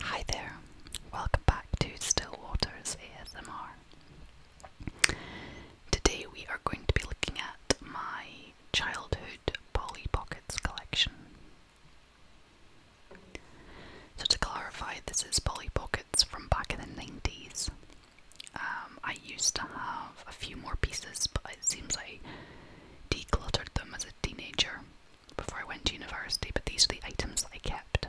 Hi there, welcome back to Still Waters ASMR. Today we are going to be looking at my childhood Polly Pockets collection. So, to clarify, this is Polly Pockets from back in the 90s. Um, I used to have a few more pieces, but it seems like decluttered them as a teenager before I went to university, but these are the items that I kept.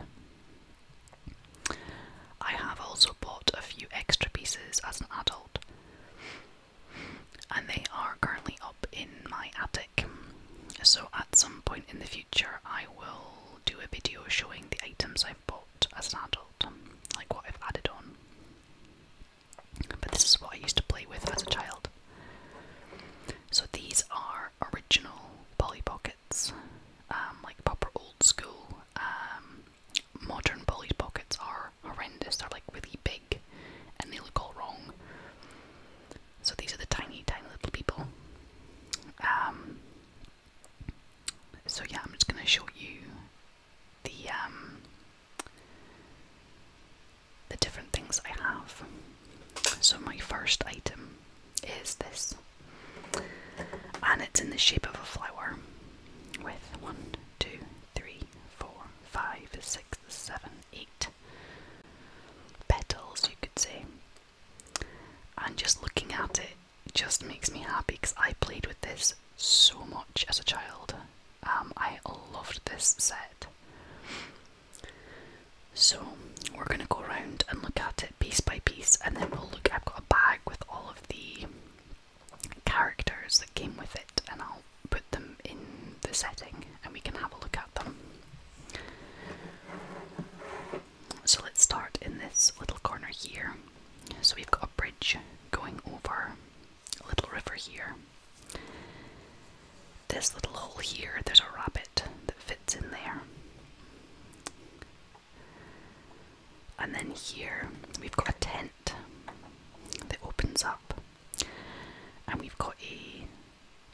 I have also bought a few extra pieces as an adult, and they are currently up in my attic. So, at some point in the future, I will do a video showing the items I've bought as an adult, like what I've added on. But this is what I used to play with as a child. So these are original Polly Pockets, um, like proper old school. Um, modern Polly Pockets are horrendous, they're like really big and they look all wrong. So these are the tiny, tiny little people. Um, so yeah, I'm just going to show you the um, the different things I have. So my first item is this, and it's in the shape of a flower, with one, two, three, four, five, six, seven, eight petals, you could say. And just looking at it just makes me happy because I played with this so much as a child. Um, I loved this set. So we're gonna go around and look at it piece by piece, and then we'll look. I've got a bag with all of the characters that came with it, and I'll put them in the setting, and we can have a look at them. So let's start in this little corner here. So we've got a bridge going over little river here. This little hole here, there's a rabbit that fits in there. And then here we've got a tent that opens up, and we've got a.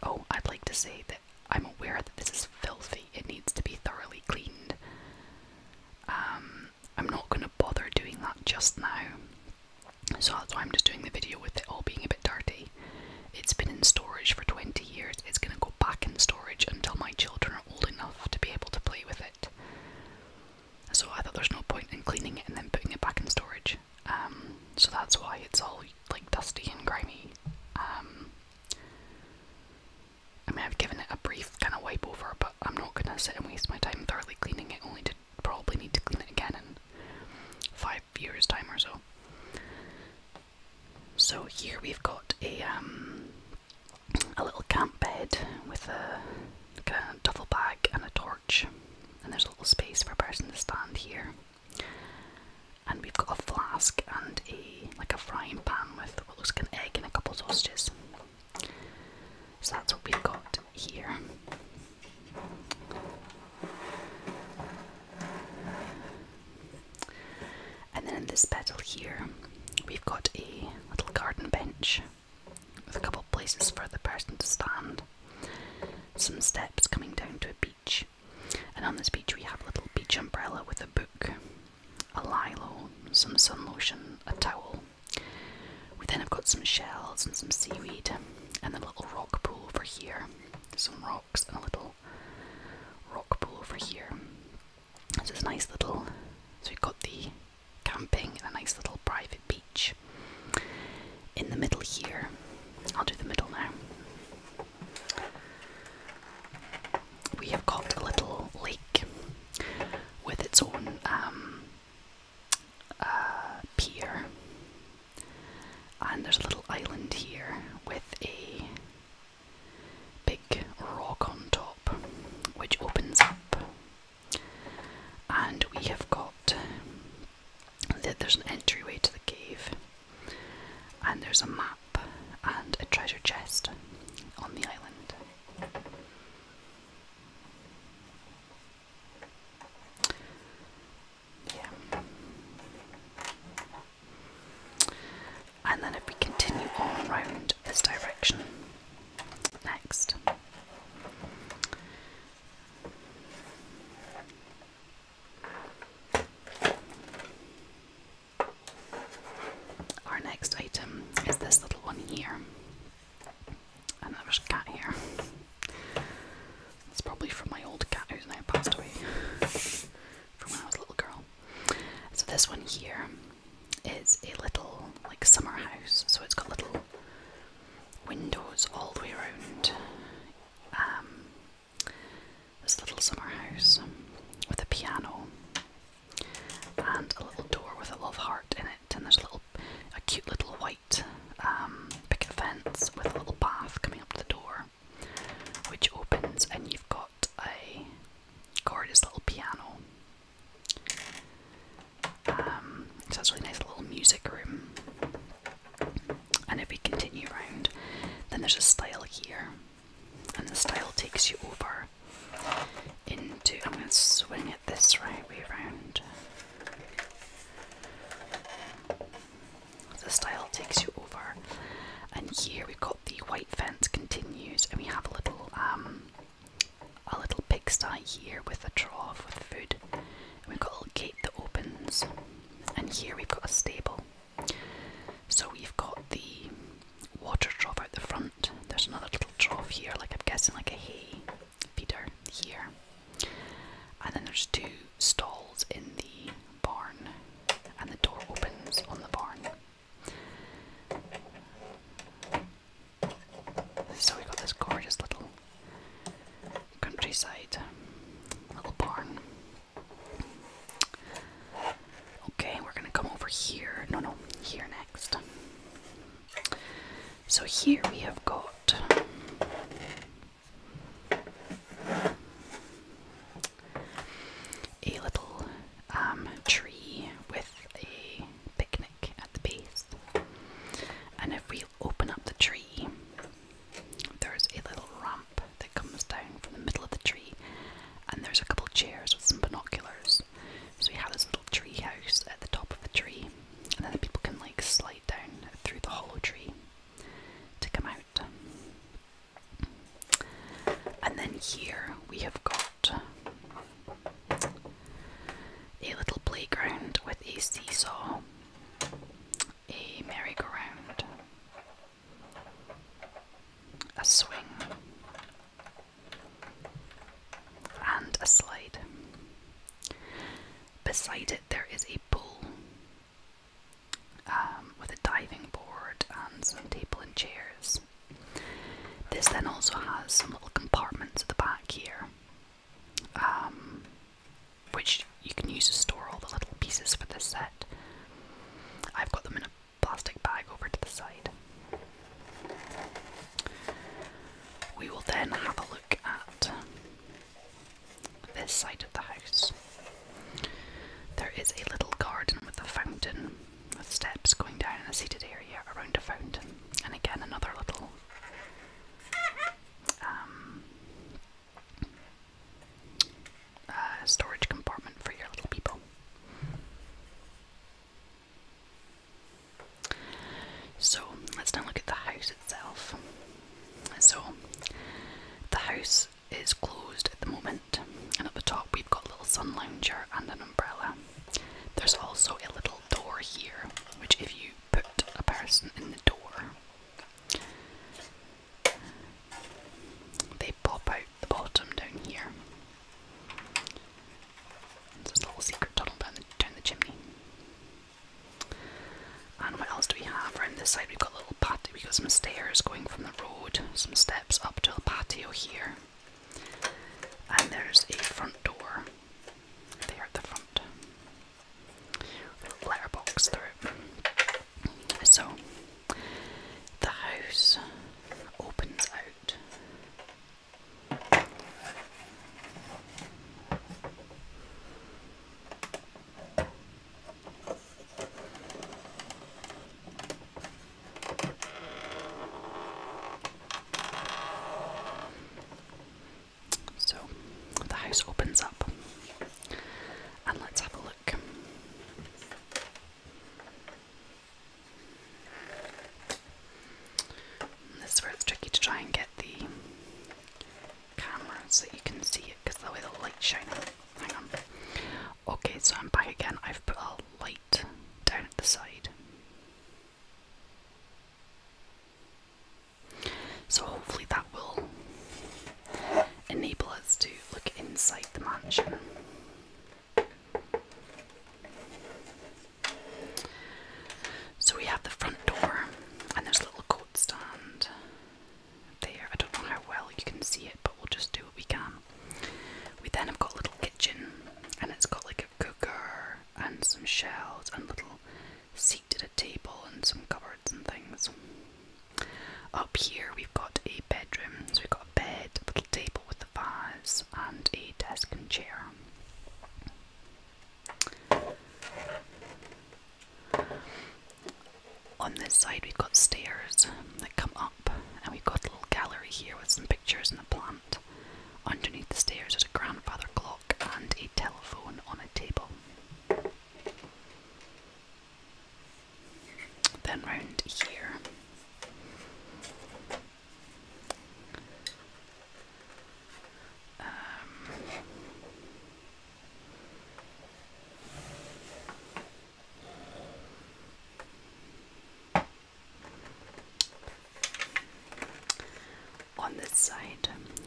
Oh, I'd like to say that I'm aware that this is filthy, it needs to be thoroughly cleaned. Um, I'm not going bother doing that just now. So that's why I'm just doing the video with it all being a bit dirty. It's been in storage for 20 years. It's going to go back in storage until my children are old enough to be able to play with it. So I thought there's no point in cleaning it and then putting it back in storage. Um, so that's why it's all like dusty and grimy. Um, I mean, I've given it a brief kind of wipe over, but I'm not going to sit and waste my time thoroughly cleaning it only to probably need to clean it again in five years' time or so. So here we've got a um, a little camp bed with a kind duffel bag and a torch, and there's a little space for a person to stand here. And we've got a flask and a like a frying pan with what looks like an egg and a couple of sausages. So that's what we've got here. And then in this petal here, we've got a little garden bench with a couple of places for the person to stand, some steps coming down to a beach, and on this beach we have a little beach umbrella with a book, a lilo, some sun lotion, a towel, we then have got some shells and some seaweed, and a little rock pool over here. Some rocks and a little rock pool over here. So it's a nice little. So we've got the camping and a nice little private beach. In the middle here, I'll do the middle now. We have got a little lake with its own um, uh, pier, and there's a little island here with a big rock on top, which opens up, and we have got that there's an entryway to the cave, and there's a map and a treasure chest on the island. Yeah. And then if we continue on this direction, next. Our next item is this little one here. And there's a cat here. It's probably from my old cat who's now passed away from when I was a little girl. So this one here is a little like summer house. So it's got little windows all the way around. Um, this little summer house with a piano and a little door with a love heart in it and there's a little, a cute little white um, picket fence with a little path coming up to the door, which opens, and you've got a gorgeous little piano. Um, so that's really nice little music room. And if we continue round, then there's a style here, and the style takes you over into. I'm going to swing it this right way round. The style takes you over, and here we've got the white fence continues, and we have a little um, a little pigsty here with a trough with food, we've got a little gate that opens, and here we've got a stable. So we've got the water trough at the front. There's another little trough here, like I'm guessing like a hay Peter here. And then there's two stalls in the barn, and the door opens on the barn. So we have got this gorgeous little countryside little barn. Okay, we're gonna come over here. No, no, here next. So here we have got a little um, tree with a picnic at the base. And if we open up the tree, there's a little ramp that comes down from the middle of the tree, and there's a couple chairs with some binoculars. So we have this little tree house at the top of the tree, and then the people can like slide down through the hollow tree to come out. And then here we have got a little playground with a seesaw, a merry-go-round, a swing, and a slide. Beside it, there is a pool um, with a diving board and some table and chairs. This then also has some little compartments at the back here, um, which you can use to store all the little pieces for this set. I've got them in a plastic bag over to the side. We will then have a look at this side of the house. There is a little garden with a fountain, with steps going down and a seated area around a fountain, and again another little um, uh, storage compartment for your little people. So let's now look at the house itself. So the house is closed at the moment, and at the top we've got a little sun lounger and an umbrella. There's also a little door here, which if you put a person in the door, they pop out the bottom down here. There's a little secret tunnel down the chimney. And what else do we have around this side? We've got a little patio, we've got some stairs going from the road, some steps up to the patio here. And there's a front door there at the front. letterbox through. So the house opens out so the house opens up, and let's have a look. It's where it's tricky to try and get the camera so you can see it because the way the light shining. Hang on. Okay, so I'm back again. I've put a light down at the side. So hopefully that will enable us to look inside the mansion. So we have the front door, and there's a little coat stand there. I don't know how well you can see it, but we'll just do what we can. We then have got a little kitchen, and it's got like a cooker and some shelves and little seat at a table and some cupboards and things. Up here we've got a bedroom, so we've got a bed, a little table with a vase, and a desk and chair. On this side, we've got stairs that come up, and we've got a little gallery here with some pictures and a plant. Underneath the stairs is a grandfather clock and a telephone on a table. Then round here, um, on this side,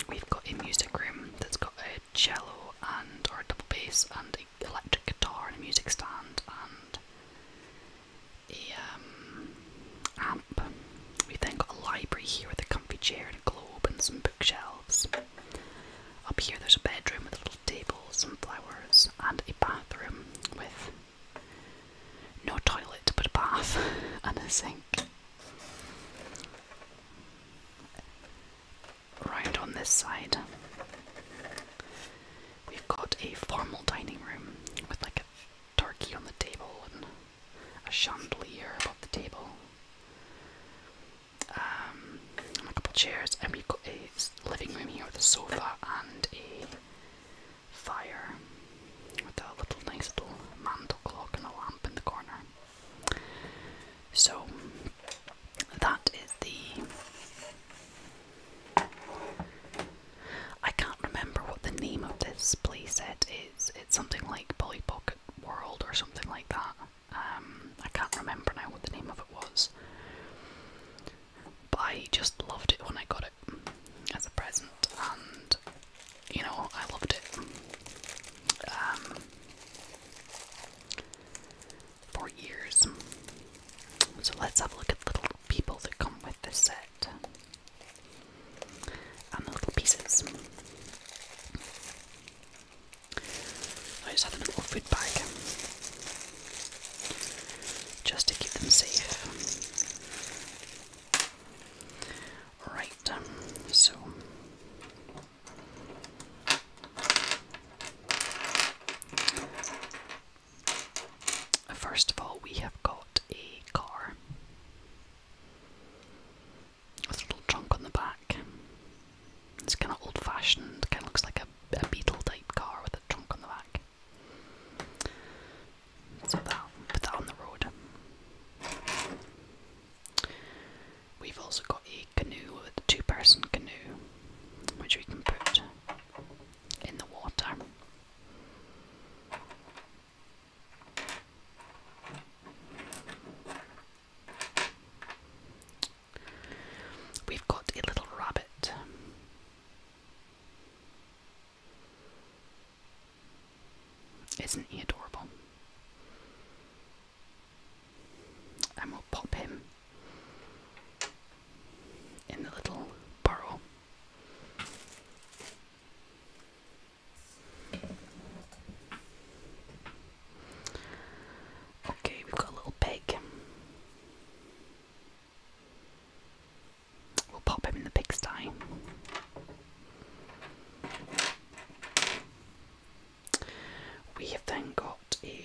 we've got a music room that's got a cello and or a double bass and an electric guitar and a music stand and a um, We've then got a library here with a comfy chair and a globe and some bookshelves. Up here there's a bedroom with a little table, and flowers, and a bathroom with no toilet but a bath and a sink. Right on this side, we've got a formal dining room with like a turkey on the table and a chandelier above the table. Um, and a couple chairs, and we've got a living room here with a sofa and a fire with a little nice little mantel clock and a lamp in the corner. So that is the. I can't remember what the name of this playset it's something like Polly Pocket World or something like that. Um, I can't remember now what the name of it was, but I just loved it when I got it as a present, and you know I loved it. Um, for years. So let's have a look at the little people that come with this set and the little pieces. I just have a little food bag just to keep them safe. Right, um, so. First of all, we have got a car. With a little trunk on the back. It's kind of old fashioned, kind of looks like a, Beetle type car with a trunk on the back. So that, put that on the road. We've also got a canoe, a two person canoe, which we can put in the water. We've got a little rabbit. Isn't he adorable? And we'll pop him in the little burrow. Okay, we've got a little pig. We'll pop him in the pigsty. We have then got a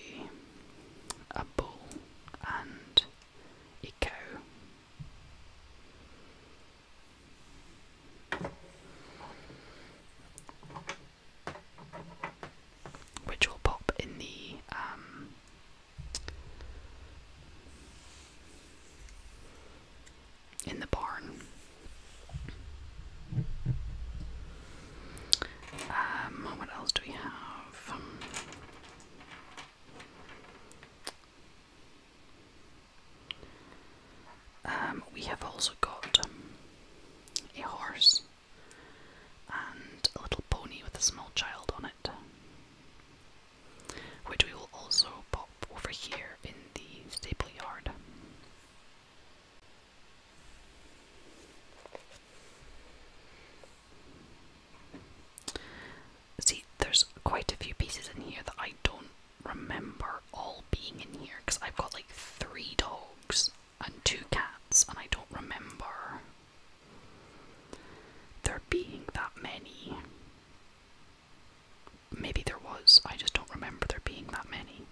a bull and Echo which will pop in the um, in the barn. Um, what else do we have? Um, we have also got um, a horse and a little pony with a small child on it, which we will also pop over here in the stable yard. See, there's quite a few pieces in here that I don't remember all being in here because I've got like three dogs and two cats, and I don't remember there being that many. Maybe there was, I just don't remember there being that many.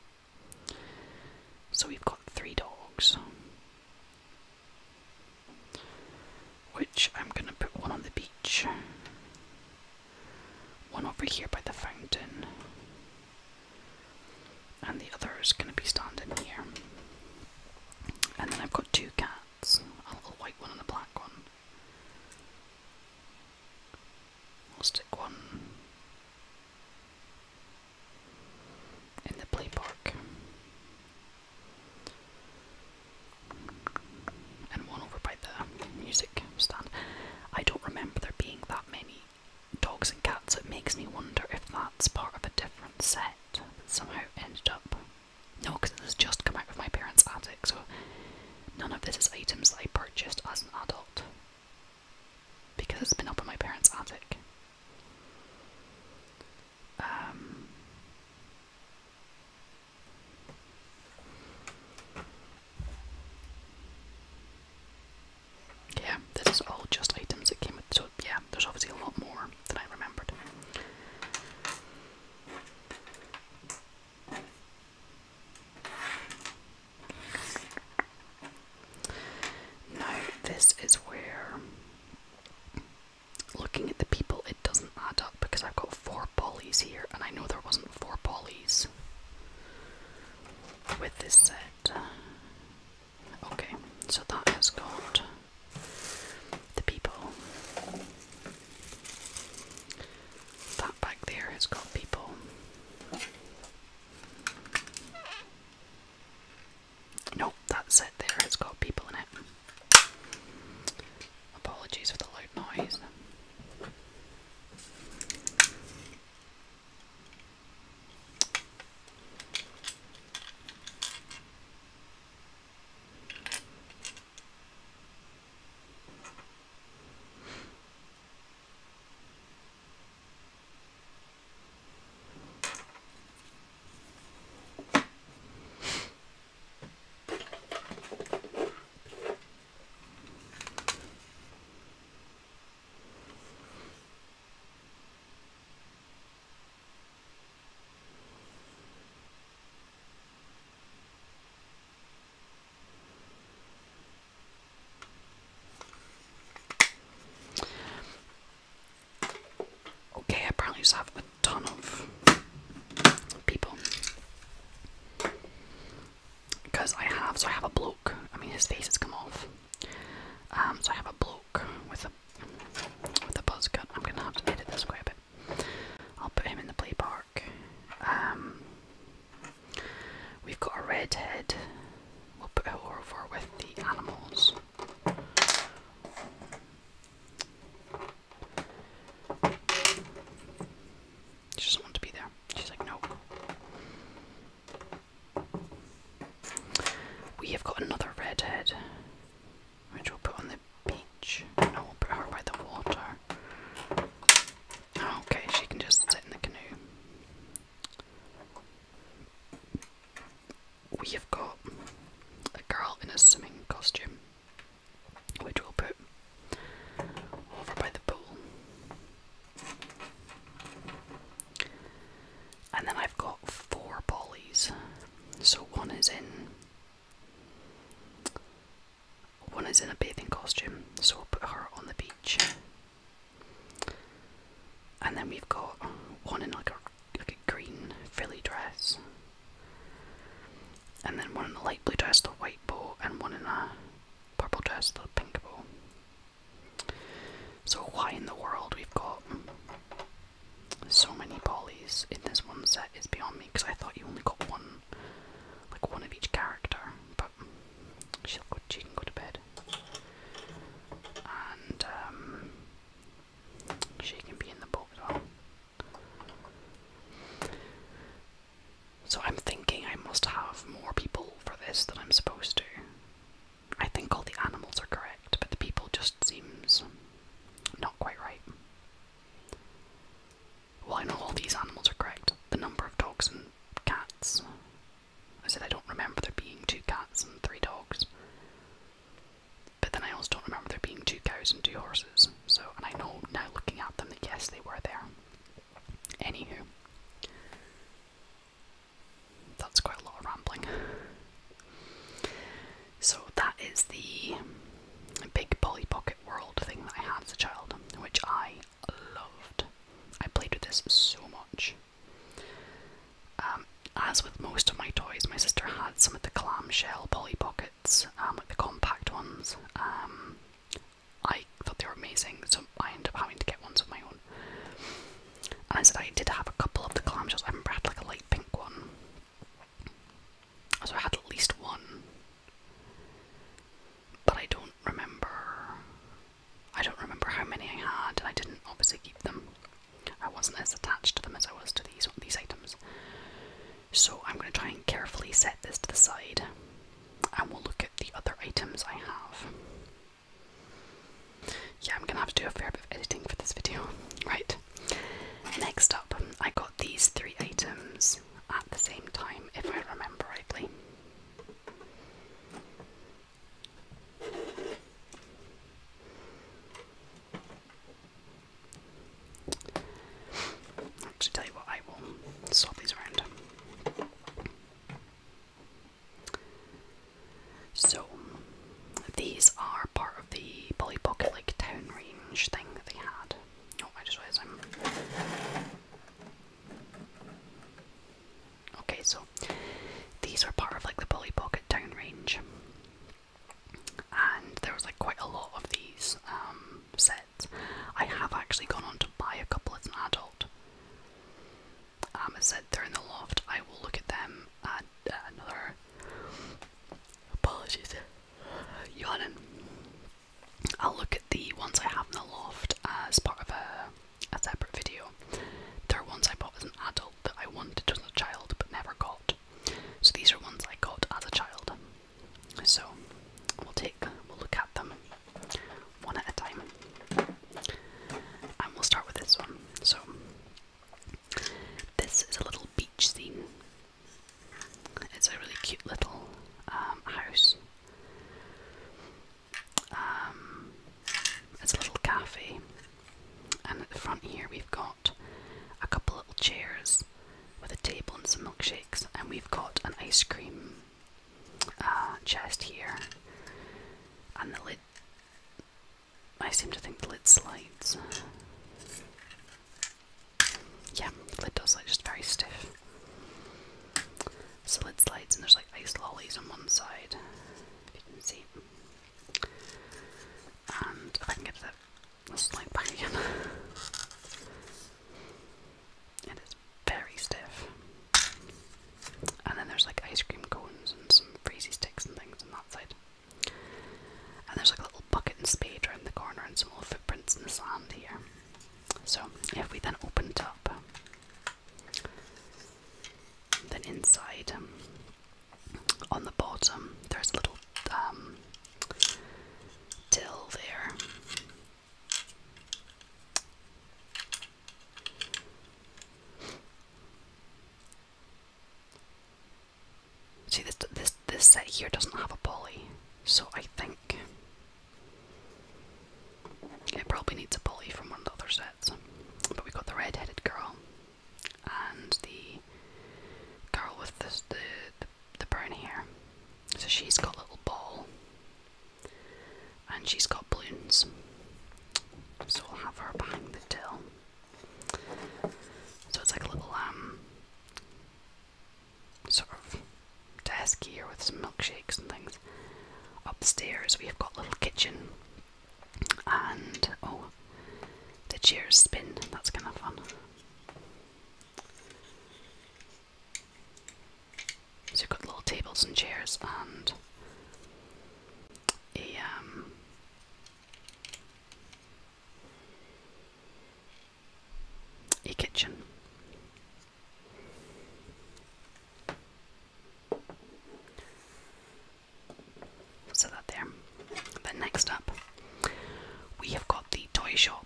So we've got three dogs which I'm going to put one on the beach, one over here by the fountain, and the other is going to be standing here. And then I've got two cats a little white one and a black one. we will stick one in the play park and one over by the music stand. I don't remember there being that many dogs and cats. It makes me wonder if that's part of a different set that somehow ended up. No, because it just come out of my parents' attic, so none of this is items I purchased as an adult because it's been up in my parents' attic. Um, yeah, this is all just items that came with, so yeah, there's obviously a lot more than I remembered. Now, this is where looking at the people, it doesn't matter because I've got four polys here, and I know there wasn't four polys with this set. Okay, so that has got the people. That back there has got people. Nope, that set there has got people in it. Apologies for the loud noise. Okay, I probably just it. a ton of people. Because I have, so I have a bloke. I mean, his face has come off. Um, so I have a bloke with a with a buzz cut. I'm gonna have to edit this quite a bit. I'll put him in the play park. Um, we've got a redhead. We'll put her over with the animals. She doesn't to be there. She's like, no. We have got another redhead, which we'll put on the beach. No, we'll put her by the water. Oh, okay, she can just sit in the canoe. We have got a girl in a swimming costume which we'll put over by the pool. And then I've got four polys. So one is in one is in a bathing costume, so i will put her on the beach. And then we've got one in like a like a green frilly dress. And then one in the light blue dress, the white bow, and one in a purple dress, the pink bow. So, why in the world we've got so many polys in this one set is beyond me because I thought you only got one, like one of each character, but she'll go, she can go to bed. And um, she can be in the boat as well. So I'm thinking I must have more people for this than I'm supposed to. I think all the animals are correct, but the people just seems not quite right. Well, I know all these animals are correct. The number of dogs and cats. I said I don't remember there being two cats and three dogs. But then I also don't remember there being two cows and two horses so, and I know now looking at them that yes, they were there. Anywho, that's quite a lot of rambling. So, that is the big Polly Pocket World thing that I had as a child, which I loved. I played with this so much. Um, as with most of my toys, my sister had some of the clamshell Polly Pockets wallets, um, like the compact ones. Um, I thought they were amazing, so I ended up having to get ones of my own. And I said I did have a couple of the clamshells. I remember I had like a light pink one, so I had at least one. But I don't remember. I don't remember how many I had, and I didn't obviously keep them. I wasn't as attached to them as I was to these these items. So I'm going to try and carefully set this to the side and we'll look at the other items I have. Yeah, I'm gonna have to do a fair bit of editing for this video. Right, next up, I got these three items at the same time, if I remember rightly. Actually, tell you what, I will swap these around. So, these are part of the Polly Pocket like town range thing that they had. Oh, I just realised I'm. Okay, so these are part of like the Polly Pocket town range, and there was like quite a lot of these um, sets. I have actually gone on to buy a couple as an adult. Um, as I said, they're in the loft. I will look at them at uh, another. Apologies, yawning. I'll look at the ones I have in the loft as part of a separate video. There are ones I bought as an adult that I wanted as a child but never got. So these are ones I got as a child. So we'll take we'll look at them one at a time. And we'll start with this one. So this is a little beach scene. It's a really cute little um, house. Um, it's a little cafe, and at the front here we've got a couple little chairs with a table and some milkshakes, and we've got an ice cream uh, chest here, and the lid. I seem to think the lid slides. Yeah, the lid does like just very stiff. So lid slides, and there's like ice lollies on one side, if you can see. And I can get to slight banging. it is very stiff. And then there's like ice cream cones and some freezy sticks and things on that side. And there's like a little bucket and spade around the corner and some little footprints in the sand here. So if we then open it up, then inside um, on the bottom there's a little um, till there. See this this this set here doesn't have a poly, so I think it probably needs a poly from one of the other sets. But we got the red-headed girl and the girl with the the, the the, the here, So she's got little ball and she's got balloons. So we will have her behind the till. So it's like a little um sort of desk here with some milkshakes and things. Upstairs we have got little kitchen and oh the chairs spin, that's kinda fun. So we've got little tables and chairs and a um, a kitchen. So that there. Then next up we have got the toy shop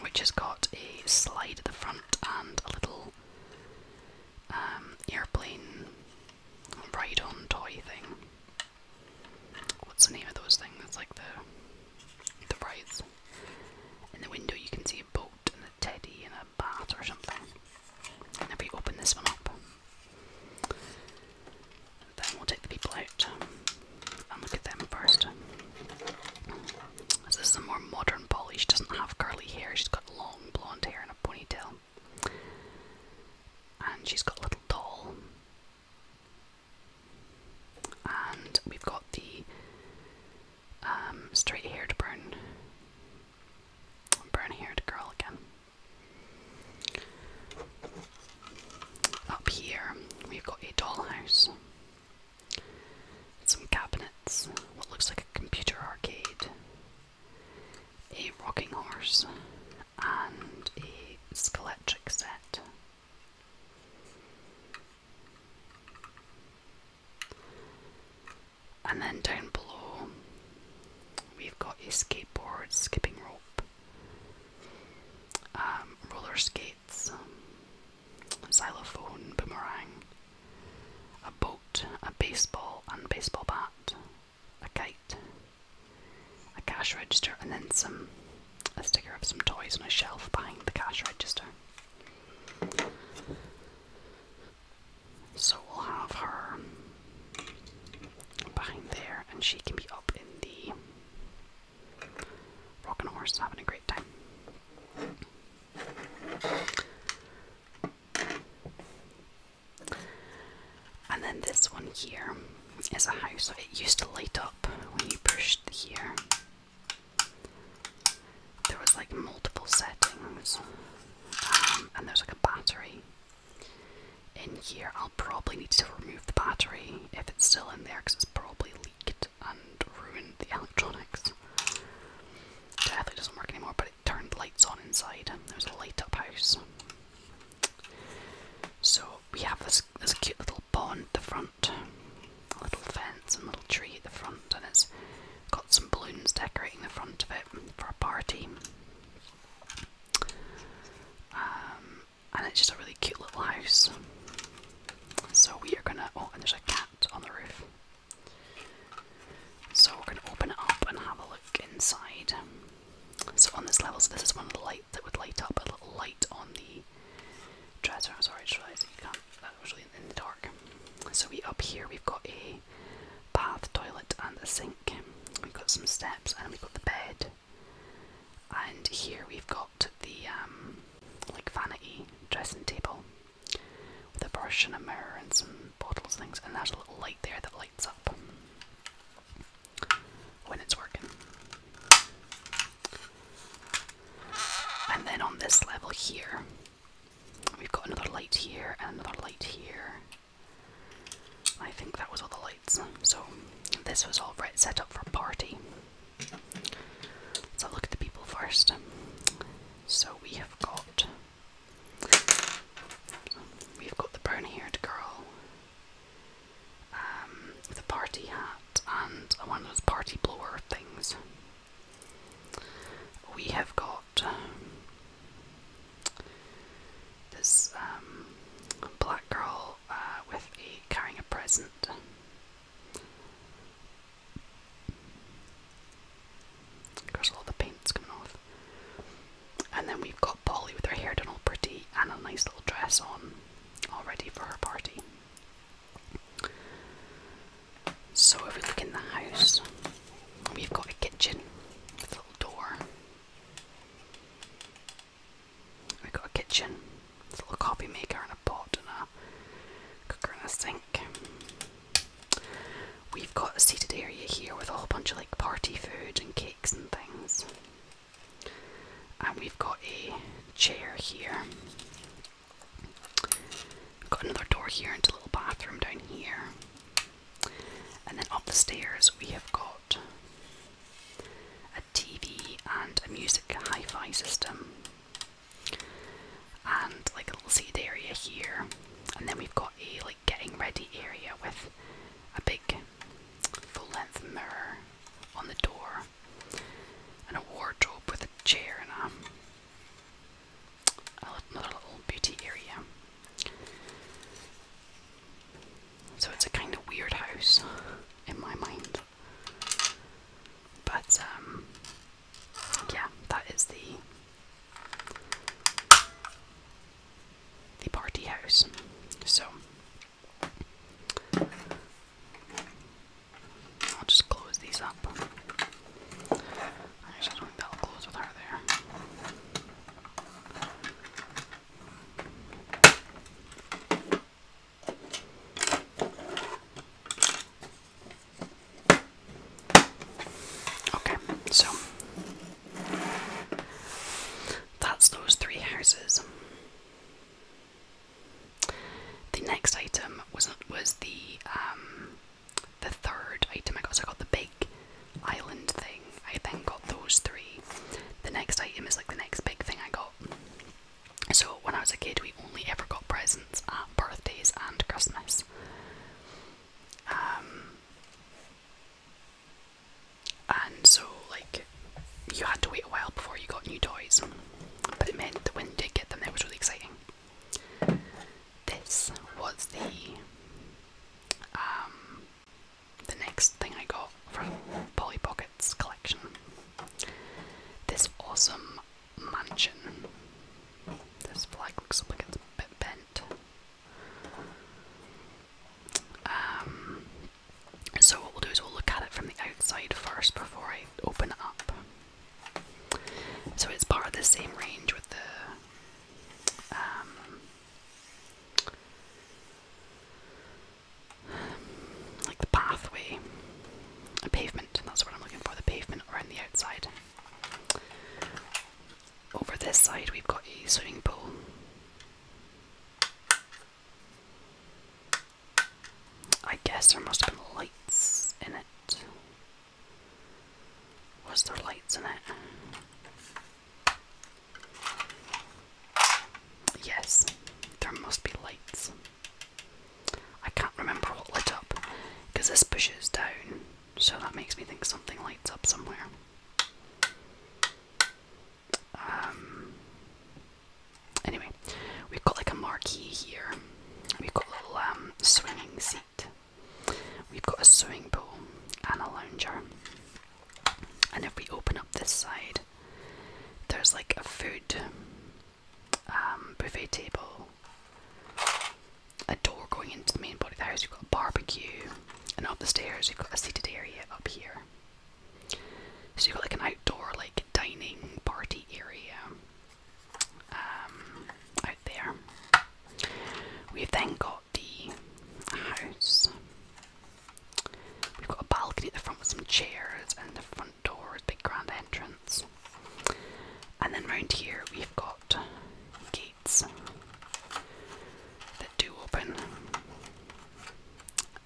which has got a slide at the front and a little um, airplane ride on toy thing. What's the name of those things? That's like the the rides. In the window you can see a boat and a teddy and a bat or something. And if we open this one up, then we'll take the people out um, and look at them first. This is a more modern Polly. She doesn't have curly hair. She's got long blonde hair and a ponytail. And she's got a little doll. And we've got the um, straight haired brown, brown haired girl again. Up here, we've got a dollhouse, some cabinets, what looks like a computer arcade, a rocking horse, and a skeletric set. And then down below, we've got a skateboard, skipping rope, um, roller skates, um, xylophone, boomerang, a boat, a baseball and baseball bat, a kite, a cash register, and then some a sticker of some toys on a shelf behind the cash register. So we'll have her behind there, and she can be up in the Rocking horse, having a great time. And then this one here is a house. It used to light up when you pushed here. There was like multiple settings, um, and there was like a battery in here. I'll probably need to remove the battery if it's still in there because it's probably leaked and ruined the electronics. Definitely doesn't work anymore, but it turned lights on inside. There's a light up house. So we have this this cute little pond at the front, a little fence and little tree at the front, and it's got some balloons decorating the front of it for a party. Um, and it's just a really cute little house. So we are gonna. Oh, and there's a cat on the roof. So we're gonna open it up and have a look inside. So on this level, so this is one of the lights that would light up a little light on the dresser. I'm sorry, I just realised that you can That was really in the dark. So we up here, we've got a bath, toilet, and a sink. We've got some steps, and we've got the bed. And here we've got the um, like vanity dressing table with a brush and a mirror and some bottles and things, and there's a little light there that lights up when it's working. And then on this level here, we've got another light here and another light here. I think that was all the lights. So this was all right set up for a party. So look at the people first. So we have got we've got the brown haired girl, um, the party hat and one of those party blower things. We have got this um, black girl uh, with a carrying a present. Of all the paint's coming off. And then we've got Polly with her hair done all pretty and a nice little dress on, all ready for her party. So, if we look in the house, we've got a kitchen with a little door. We've got a kitchen, there's a little coffee maker and a pot and a cooker and a sink. We've got a seated area here with a whole bunch of like party food and cakes and things. And we've got a chair here. got another door here into a little bathroom down here. And then up the stairs we have got TV and a music hi-fi system and like a little seated area here and then we've got a like getting ready area with a big full-length mirror on the door and a wardrobe with a chair and a, another little beauty area so it's a kind of weird house in my mind. But um yeah, that is the the party house. So I'll just close these up. I just do that'll close with her there. Okay, so that's those three houses. The next item was was the um, the third item I got. So I got the big island thing. I then got those three the next item is like the next big thing I got. So when I was a kid, we only ever got presents at birthdays and Christmas. Um, and so like you had to wait a while before you got new toys, but it meant that when did get them, it was really exciting. This was the um, the next thing I got from Polly Pocket's collection. This awesome mansion. This flag looks like it's a bit bent. Um, so, what we'll do is we'll look at it from the outside first before I open it up. So, it's part of the same range with the. Um, like the pathway, a pavement, that's what I'm looking for, the pavement around the outside. Over this side, we've got a swimming pool. I guess there must have been lights in it. Was there lights in it? Yes, there must be lights. I can't remember what lit up because this pushes down, so that makes me think something lights up somewhere. Um, anyway, we've got like a marquee here. We've got a little um, swinging seat. We've got a swimming pool and a lounger. And if we open up this side, there's like a food um, buffet table, a door going into the main body of the house. You've got a barbecue, and up the stairs you've got a seated area up here. So you've got like an outdoor, like dining party area um, out there. We've then got the house We've got a balcony at the front with some chairs, and the front door is big grand entrance. And then round here we've got gates that do open,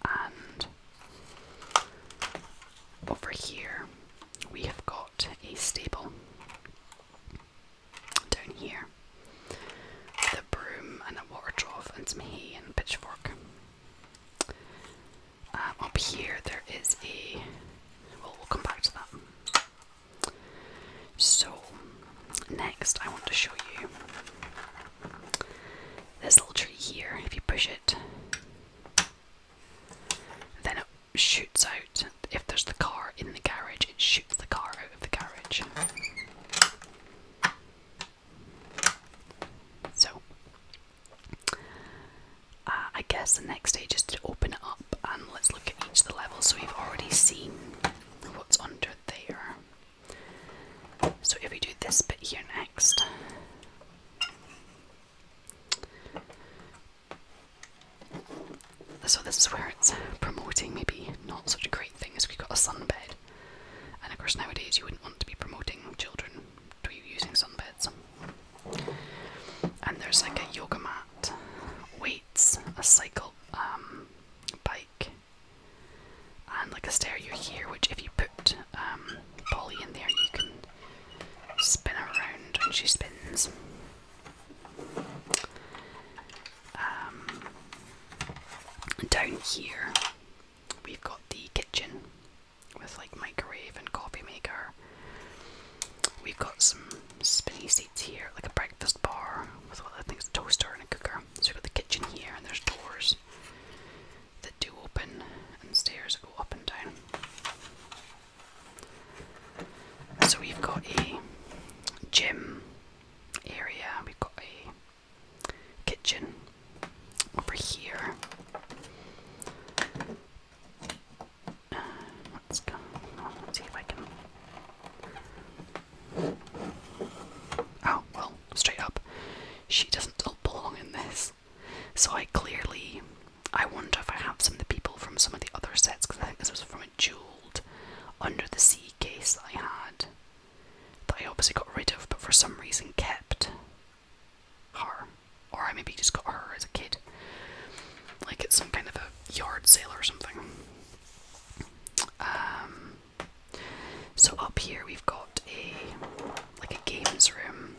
and over here we have got a stable down here broom and a water trough and some hay and pitchfork. Uh, up here there is a. Well, we'll come back to that. So, next I want to show you this little tree here. If you push it, then it shoots out. If there's the car in the garage, it shoots the car out of the garage. So, uh, I guess the next stage is to open it up and let's look at each of the levels. So, we've already seen what's under there. So, if we do this bit here next. So, this is where it's promoting maybe not such a great thing as we've got a sunbed. And of course, nowadays you wouldn't want to be promoting children to be using sunbeds. And there's like a yoga mat, weights, a cycle um, bike, and like a stereo here, which if you put um, Polly in there, you can spin around and she spins. Um, down here We've got the kitchen with like microwave and coffee maker. We've got some spinny seats here, like a breakfast bar with all the things, a toaster and a cooker. So we've got the kitchen here and there's doors that do open and stairs that go up and down. So we've got a gym area, we've got a kitchen over here. let's go. see if I can. Oh, well, straight up. She doesn't belong in this. So I clearly. I wonder if I have some of the people from some of the other sets, because I think this was from a jeweled Under the Sea case I had that I obviously got rid of, but for some reason kept her. Or I maybe just got her as a kid. Like it's some kind of a yard sale or something. Um, so up here we've got a like a games room.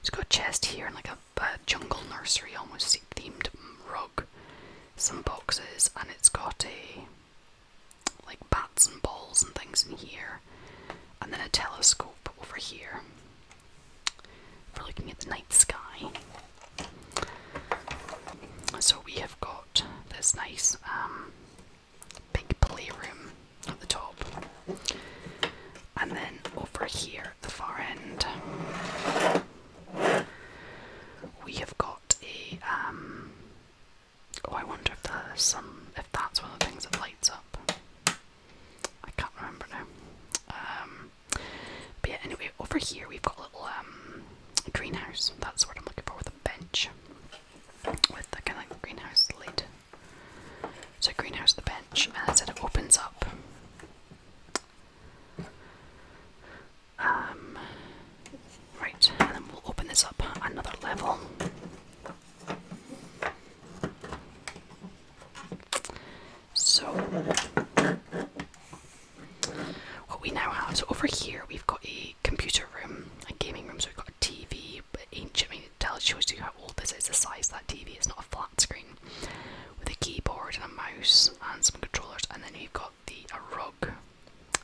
It's got a chest here and like a jungle nursery almost themed rug, some boxes, and it's got a like bats and balls and things in here, and then a telescope over here for looking at the night sky. So we have got this nice um, big playroom at the top, and then over here at the far end, we have got a um, Oh, I wonder if there's some. if that's one of the things that lights up. I can't remember now. Um, but yeah, anyway, over here we've got a little um, greenhouse. That's what I'm looking for with a bench, with the kind of greenhouse lid. So greenhouse, the bench, and I it opens up. Um, Right, and then we'll open this up another level. So, what we now have, over here we've got a computer room, a gaming room, so we've got a TV, ancient, I mean, it shows you how old this is, the size of that TV, it's not a flat screen, with a keyboard and a mouse and some controllers, and then you've got the rug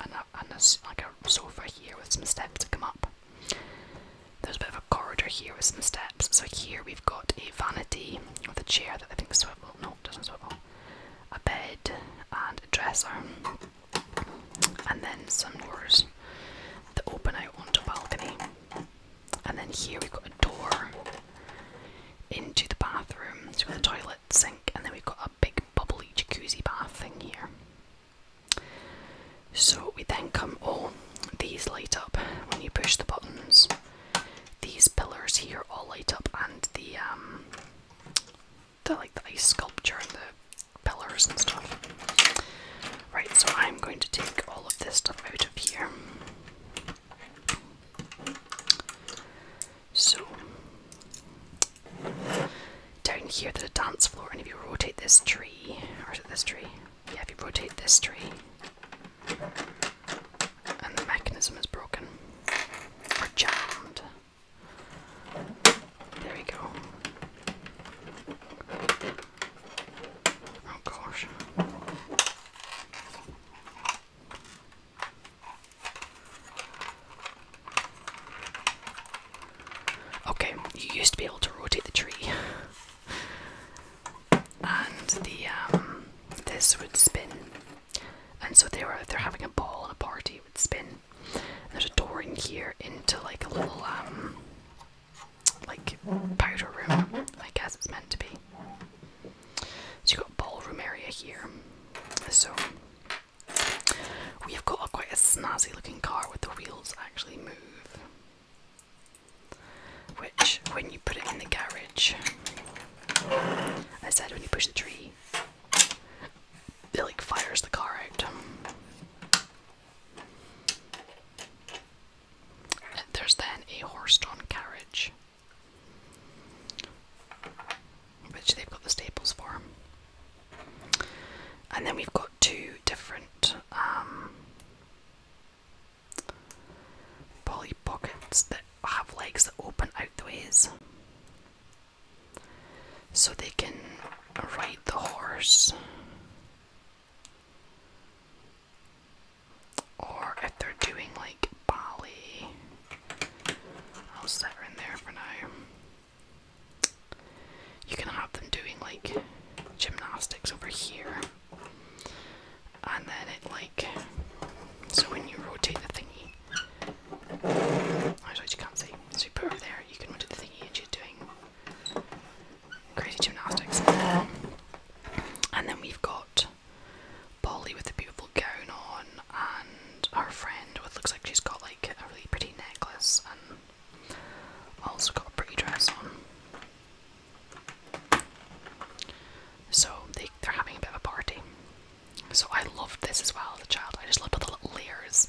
and, a, like a sofa here with some steps to come up. There's a bit of a corridor here with some steps. So here we've got a vanity with a chair that I think swivel. No, doesn't swivel. A bed and a dresser, and then some doors that open out onto a balcony. And then here we've got a door into the bathroom, so we've got the toilet, sink, and then we've got a big bubbly jacuzzi bath thing here. So we then come, All these light up when you push the buttons. These pillars here all light up, and the um, they're like the ice sculpture and the pillars and stuff. Right, so I'm going to take all of this stuff out of here. So down here to the dance floor and if you rotate this tree or is it this tree? Yeah, if you rotate this tree and the mechanism is broken. Or jammed. There we go. Oh gosh. Okay, you used to be able to rotate the tree. and the um, this would spin. And so they were they're having a ball and a party, it would spin. And there's a door in here into like a little um like powder room, I guess it's meant to be. So you got ballroom area here. So we have got a, quite a snazzy looking car with the wheels actually move. Which, when you put it in the garage, I said when you push the tree, it like fires the car out. There's then a horse-drawn carriage which they've got the staples for. And then we've got two different um, pockets that have legs that open out the ways. So they can ride the horse. Or if they're doing like ballet, I'll set her in there for now you can have them doing like gymnastics over here. And then it like so when you rotate the thingy I'm oh, actually you can't see. So you put over there, you can rotate the thingy and you're doing crazy gymnastics. and then we've got Polly with a beautiful gown on and our friend with looks like she's got like a really pretty necklace fun. Also got a pretty dress on. So they, they're having a bit of a party. So I loved this as well as a child. I just loved all the little layers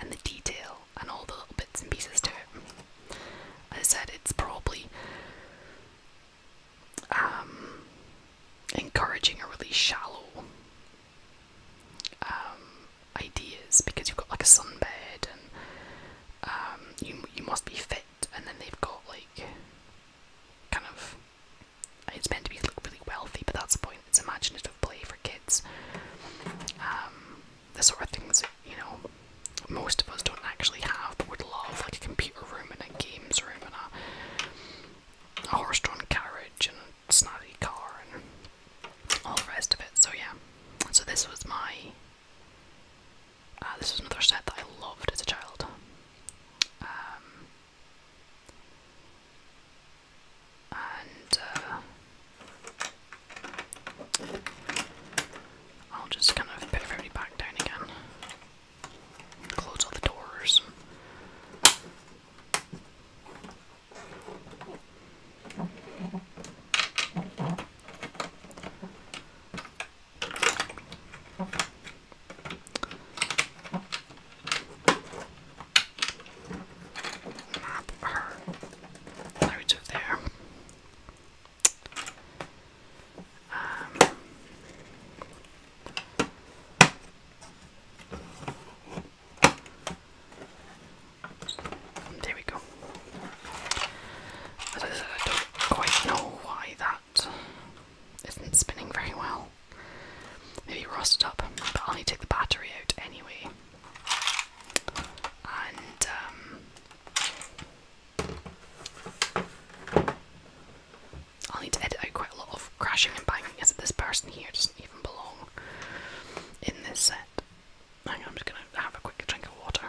and the detail and all the little bits and pieces to it. I said, it's probably um, encouraging a really shallow um, ideas because you've got like a sunbed and um, you you must be fit, and then they've got like kind of it's meant to be like really wealthy, but that's the point. It's imaginative play for kids. Um, the sort of things you know most of us don't actually have, but would love like a computer room and a games room and a, horse-drawn carriage and snotty car and all the rest of it. So yeah, so this was my. Uh, this was another set that I loved as a child. Um, and uh, I'll just kind of put everybody back down again. Close all the doors. Map her loads of there. Um, there we go. I don't quite know why that isn't spinning very well. Maybe rusted up, but I'll need to take the battery out anyway. And, um, I'll need to edit out quite a lot of crashing and banging as this person here does belong in this set. I'm just gonna have a quick drink of water.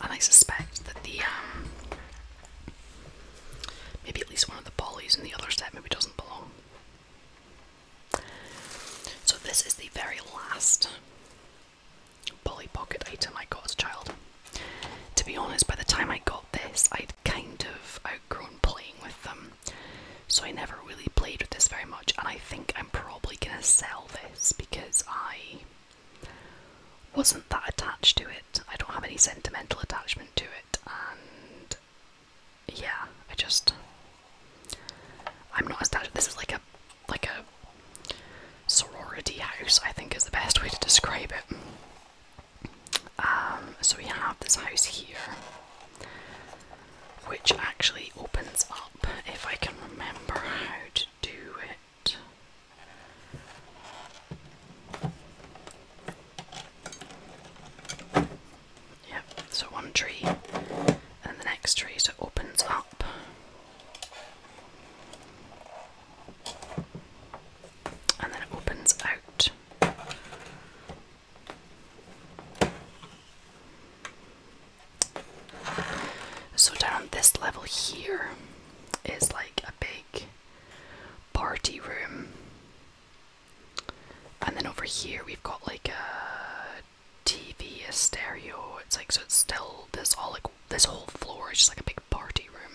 And I suspect that the um, maybe at least one of the polys in the other set maybe doesn't belong. So this is the very last Polly Pocket item I got as a child. To be honest, by the time I got this, I'd kind of outgrown playing with them, so I never really played with this very much. And I think I'm probably gonna sell this because I wasn't that attached to it. I don't have any sentimental attachment to it, and yeah, I just I'm not attached. This is like a like a sorority house, I think is the best way to describe it. Um, so we have this house here, which actually opens up if I can remember how to do it. Yep, so one tree and the next tree, so it opens up and then it opens out. So, down this level here is like a big party room, and then over here we've got like a TV, a stereo. It's like so, it's still this all like this whole floor is just like a big party room.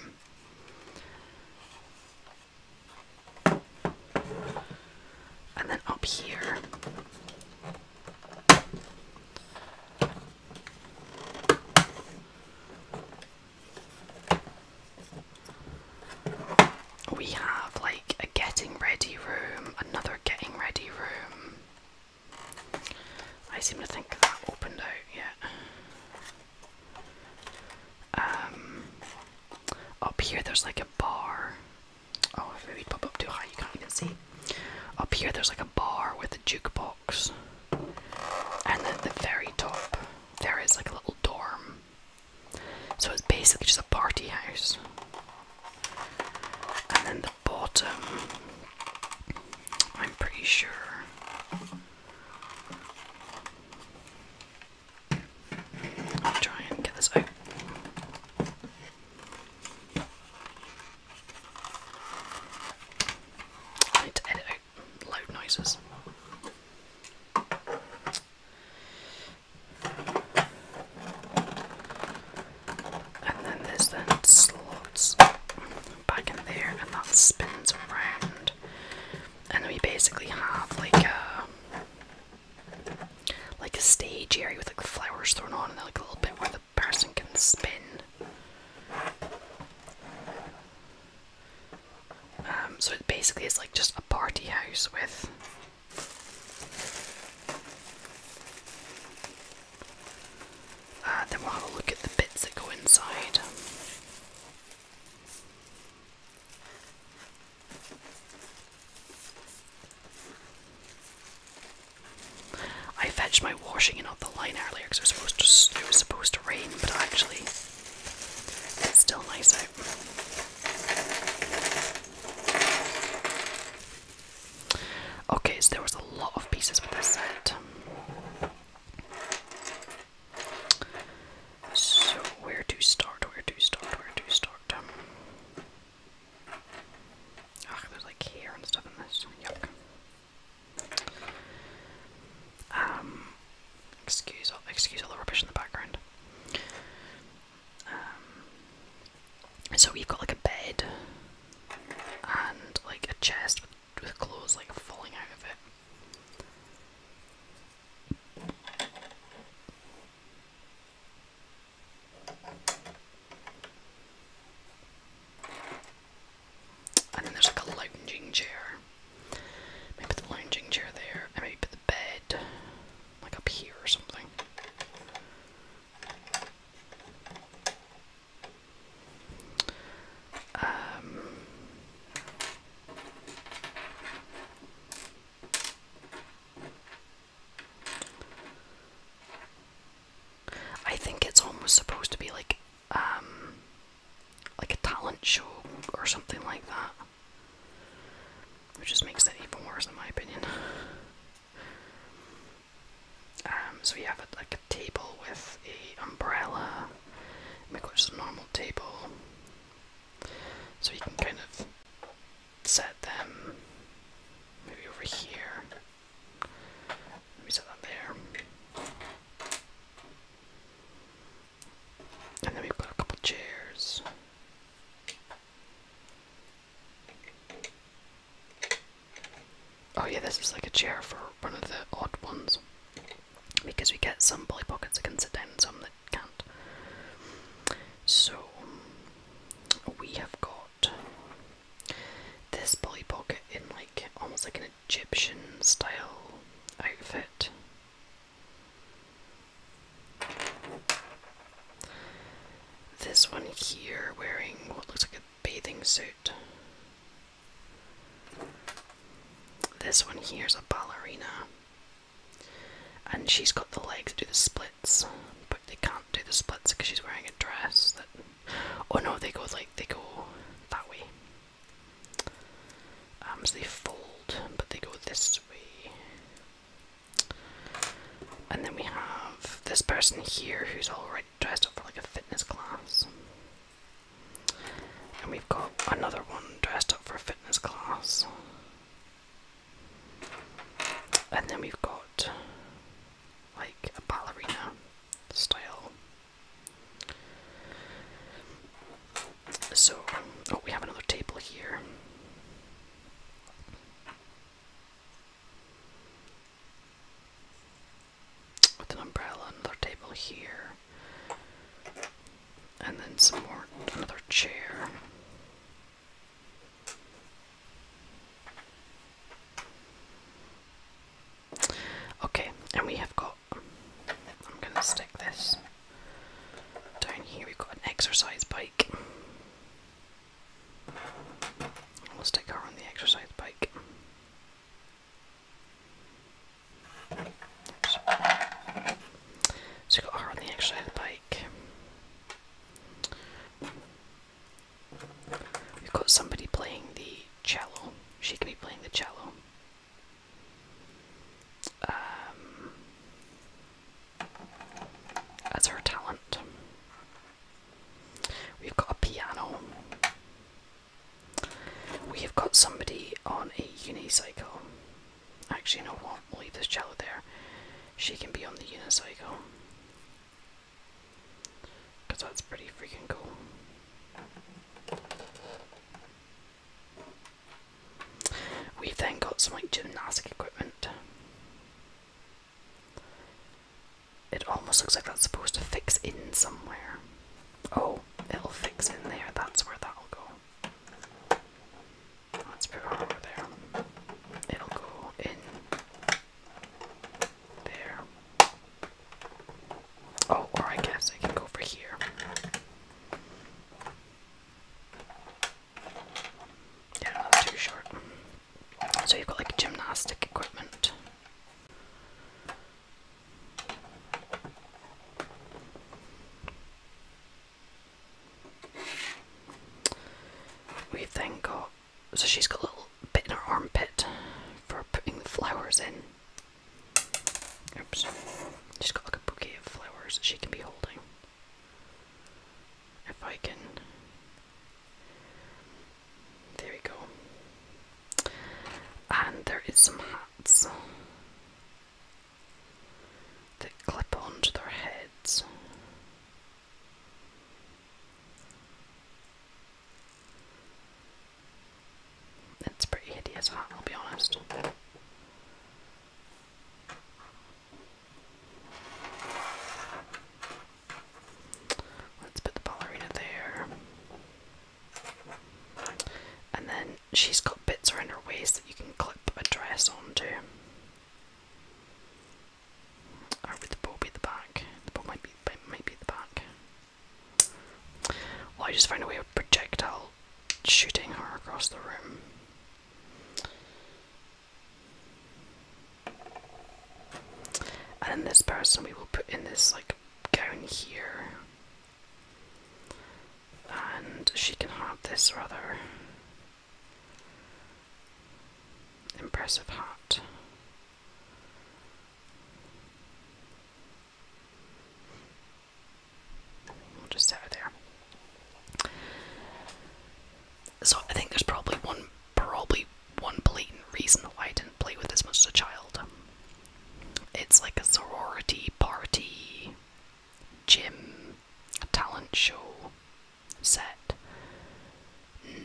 And then up here we have like a getting ready room, another getting ready room, I seem to think that opened out yeah. Um, up here there's like a bar. Oh, if we pop up too high, you can't even see. Up here there's like a bar with a jukebox, and then the very top there is like a little dorm. So it's basically just a party house. And then bottom. I'm pretty sure. try and get this out. I edit out loud noises and then there's then slots back in there and that spins around and we basically have like a like a stage area with like flowers thrown on and like a little bit where the person can spin um, so it basically is like just a party house with then we'll have a look at the bits that go inside. I fetched my washing and off the line earlier because it was supposed to it was supposed to rain, but actually it's still nice out. Okay, so there was a lot of pieces with this set. So, where to start? Where to start? Where to start? Ugh, there's like hair and stuff in this. Yuck. Um, excuse excuse all the rubbish in the background. Um, so we've got like a bed and like a chest with with clothes like falling out of it. And then there's like a lounging chair. Maybe the lounging chair there, maybe put the bed like up here or something. Um, I think it's almost supposed to be like um like a talent show or something like that. Which just makes it even worse in my opinion. Um, so we have like a table with a umbrella. We've got just a normal table, so you can kind of set them maybe over here. Let me set them there. And then we've a couple chairs. Oh yeah, this is like a chair for one of the odd ones. Because we get some bully pockets that can sit down and some that can't. So we have got this bully pocket in like almost like an Egyptian style outfit. This one here wearing what looks like a bathing suit this one here's a ballerina. And she's got the legs to do the splits, but they can't do the splits because she's wearing a dress that oh no, they go like they go that way. Arms um, they fold, but they go this way. And then we have this person here who's already dressed up for like a fitness class. And we've got another one dressed up for a fitness class. And then we've got like a ballerina style. So, oh, we have another table here with an umbrella, another table here, and then some more, another chair. Okay, and we have got. I'm gonna stick this down here. We've got an exercise bike. Let's take her on the exercise bike. So, so got her on the extra bike. We've got somebody playing the cello. She can be playing the cello. Um, that's her talent. We've got a piano. We've got somebody on a unicycle. Actually, no, what? We'll leave this child there. She can be on the unicycle. Because that's pretty freaking cool. We've then got some like gymnastic equipment. It almost looks like that's supposed to fix in somewhere. Oh, it'll fix in there. That's where that'll go. Let's put it over there. It'll go in there. Oh, or I guess I can go over here. Yeah, that's too short. So you've got like gymnastic equipment. We've then got so she's got a little bit in her armpit for putting flowers in. Oops. She's got like a bouquet of flowers she can be holding. If I can there we go. And there is some hats that clip onto their heads. It's pretty hideous I'll be honest. Let's put the ballerina there. And then she's got bits around her waist that you can clip a dress onto. Or oh, would the bow be the back? The bow might be might be the back. Well, I just found a way of projectile shooting her across the room. And then this person we will put in this like gown here. And she can have this rather impressive hat. We'll just set her there. So I think there's probably one probably one blatant reason why I didn't play with this much as a child. It's like a sorority party, gym, talent show set,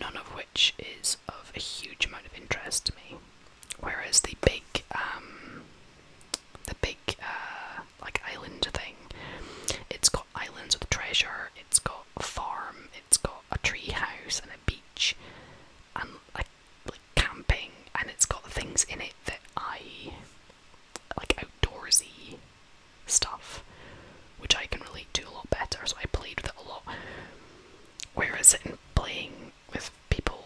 none of which is of a huge amount of interest to me. Whereas the big, um, the big, uh, like island thing, it's got islands with treasure, it's got a farm, it's got a tree house, and beach and like, like camping, and it's got things in it that I like outdoorsy stuff, which I can relate to a lot better. So I played with it a lot. Whereas in playing with people,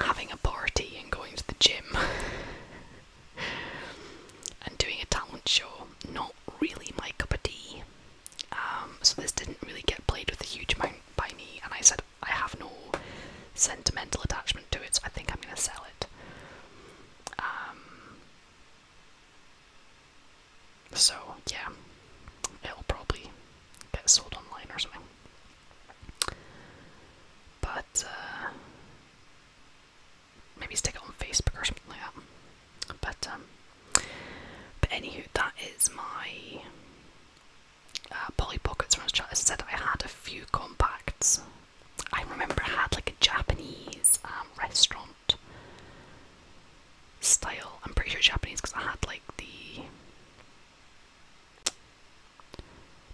having a party and going to the gym. and doing a talent show, not really my cup of tea. Um, so this didn't really get played with a huge amount by me, and I said I have no sentimental attachment to it, so I think I'm going to sell it. Um, so yeah, it'll probably get sold online or something. But uh, maybe stick it on Facebook or something like that. But um, but anywho, that is my uh, Polly Pockets from I said I had a few compacts. I remember I had like a Japanese um, restaurant style. I'm pretty sure Japanese because I had like the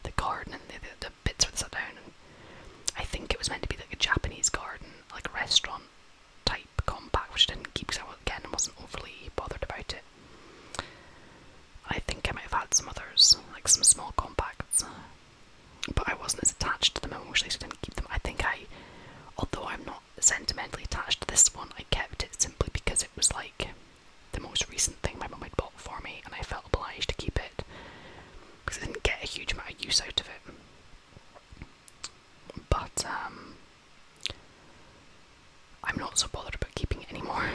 the garden and the, the, bits with the sat down. I think it was meant to be like a Japanese garden, like a restaurant type compact, which I didn't keep because I again wasn't overly bothered about it. I think I might have had some others, like some small compacts, but I wasn't as attached to them emotionally, so I didn't keep them. I think I, although I'm not sentimentally attached to this one, I kept it simply because it was like the most recent thing my mum had bought for me, and I felt obliged to keep it because I didn't get a huge amount of use out of it. But um, I'm not so bothered about keeping it anymore.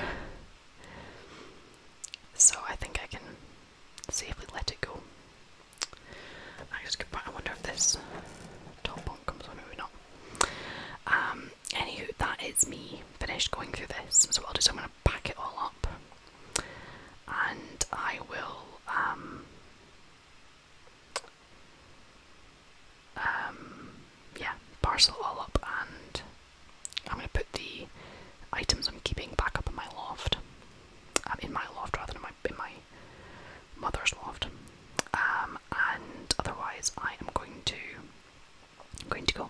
so I think I can safely let it go. I just wonder if this top bunk comes on, maybe not. Um anywho that is me finished going through this. So what I'll do is I'm gonna pack it all up and I will um um, yeah, parcel all up and I'm going to put the items I'm keeping back up in my loft. Um, in my loft rather than my, in my mother's loft. Um, and otherwise I am going to going to go.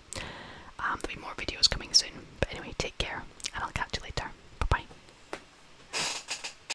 there'll be more videos coming soon. But anyway, take care and I'll catch you later. Bye bye.